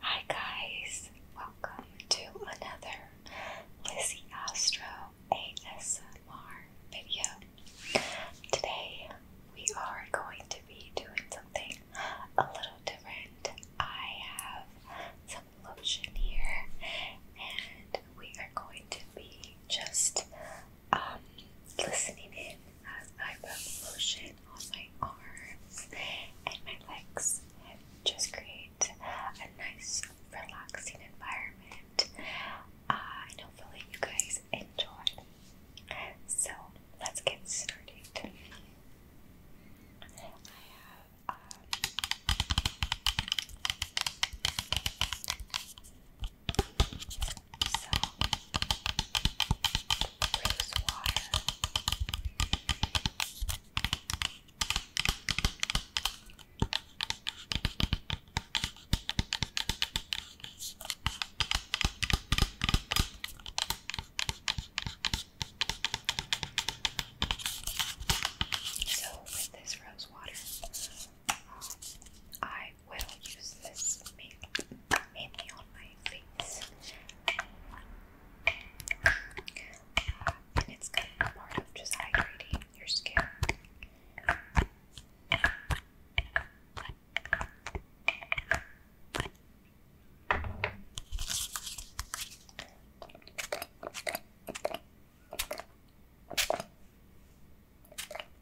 Hi guys, welcome to another Lizzie Astro ASMR video. Today we are going to be doing something a little different. I have some lotion here and we are going to be just um, listening in I put lotion on my arms and my legs and just create a nice relaxing environment. Uh, and hopefully you guys enjoy. So let's get started. So, rose water. So, with this rose water, um, I will use this mainly on my and it's part of just hydrating your skin.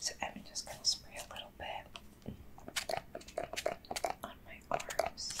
So I'm just going to spray a little bit on my arms.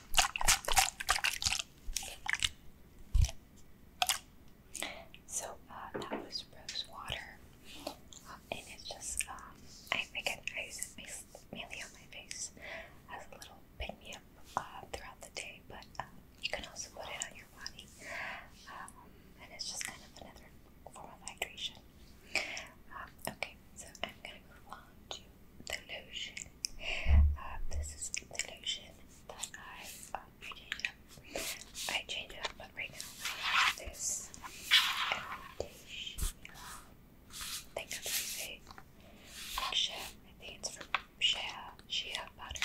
So uh, that was rose water, uh, and it's just um, I think I use it mainly on my face as a little pick me up uh, throughout the day, but uh, you can also put it on your body, and it's just kind of another form of hydration. Um, okay, so I'm gonna move on to the lotion. Uh, this is the lotion that I change uh, up. I change up, but right now this foundation. I think I'm I think it's from Shea Shea butter.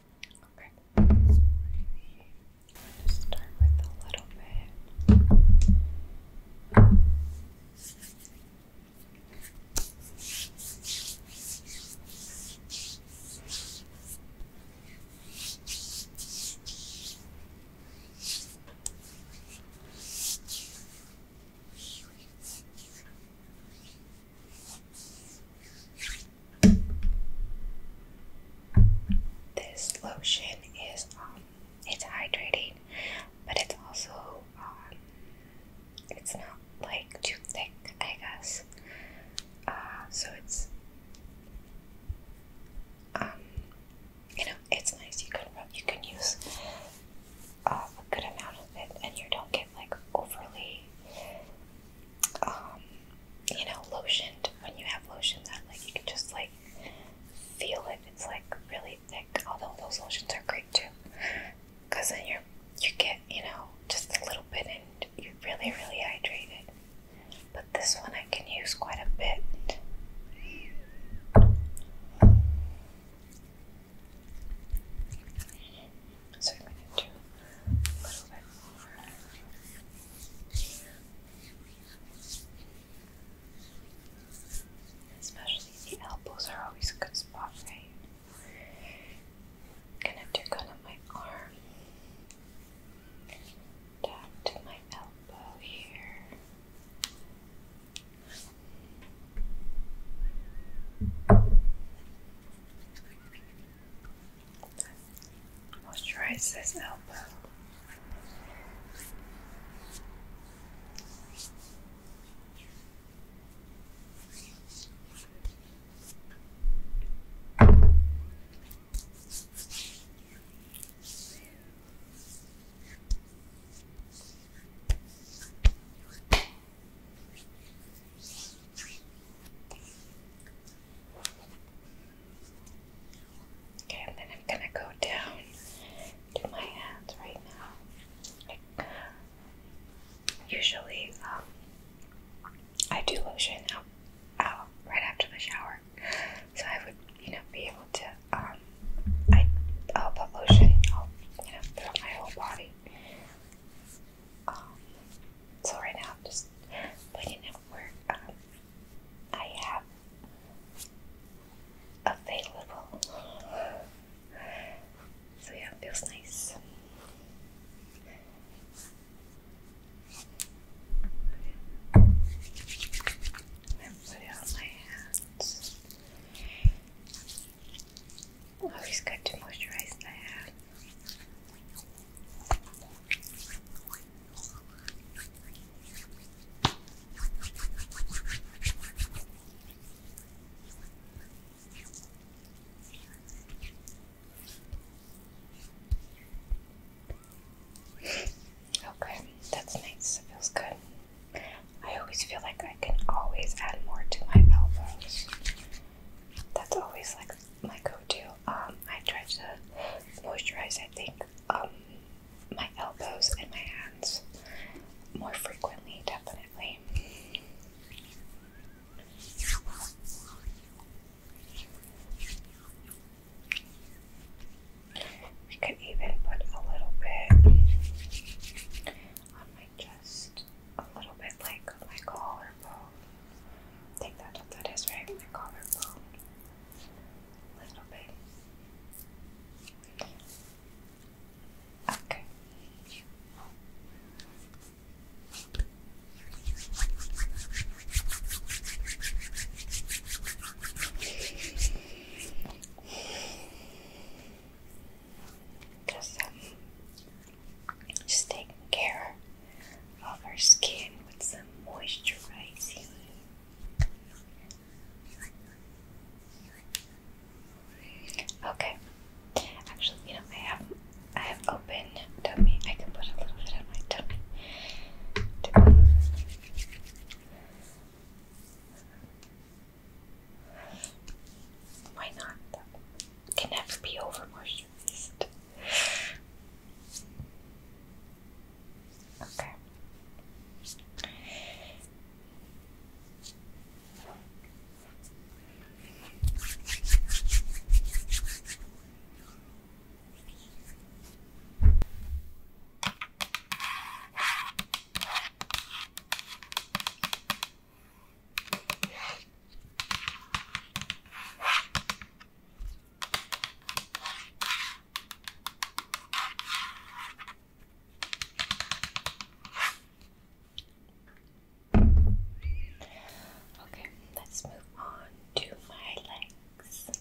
Okay. I'm going start with a little bit. This lotion is um it's hydrating, but it's also um it's not like too thick, I guess. Uh, so it's um you know it's nice. You can rub, you can use uh, a good amount of it, and you don't get like overly um, you know, lotioned. When you have lotion that like you can just like feel it. It's like really thick. Although those lotions are great too, because then you're you get you know just a little bit and you're really really hydrated. But this one I can use quite a bit. So I'm going to do a little bit more. Especially the elbows are always a good spot, right? gonna do kind of my arm down to my elbow here. Moisturize this elbow. Okay. Okay, and then I'm gonna go down to my hands right now. Usually, um, I do lotion out, right after the shower, so I would, you know, be able to. Um, I'll put lotion. I'll, you know, throughout my whole body. Um, so right now I'm just putting in work. Um, I have available. So yeah, it feels nice. I'm put on my hands. Always oh, good to moisturize the hair. okay, that's nice. It feels good. I always feel like I can always add more to my elbows. That's always like my go-to. Um, I try to moisturize. I think um, my elbows and my hands more frequently, definitely. We could even put a little bit on my chest a little bit like my collarbone. I think that's what that is, right? My collarbone. A little bit. Okay. Just um, just taking care of our skin with some moisturizing. Okay. Actually, you know, I have I have open tummy. I can put a little bit on my tummy. Why not? can never be over moisturized. Okay. Okay, let's move on to my legs.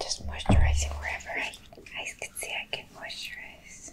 Just moisturizing wherever I, I can see I can moisturize.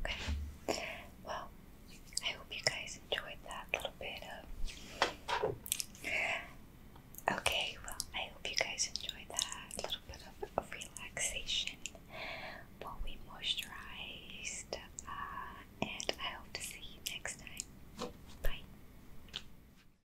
Okay. Well, I hope you guys enjoyed that little bit of. Okay, well, I hope you guys enjoyed that little bit of, relaxation while we moisturized. Uh, and I hope to see you next time. Bye.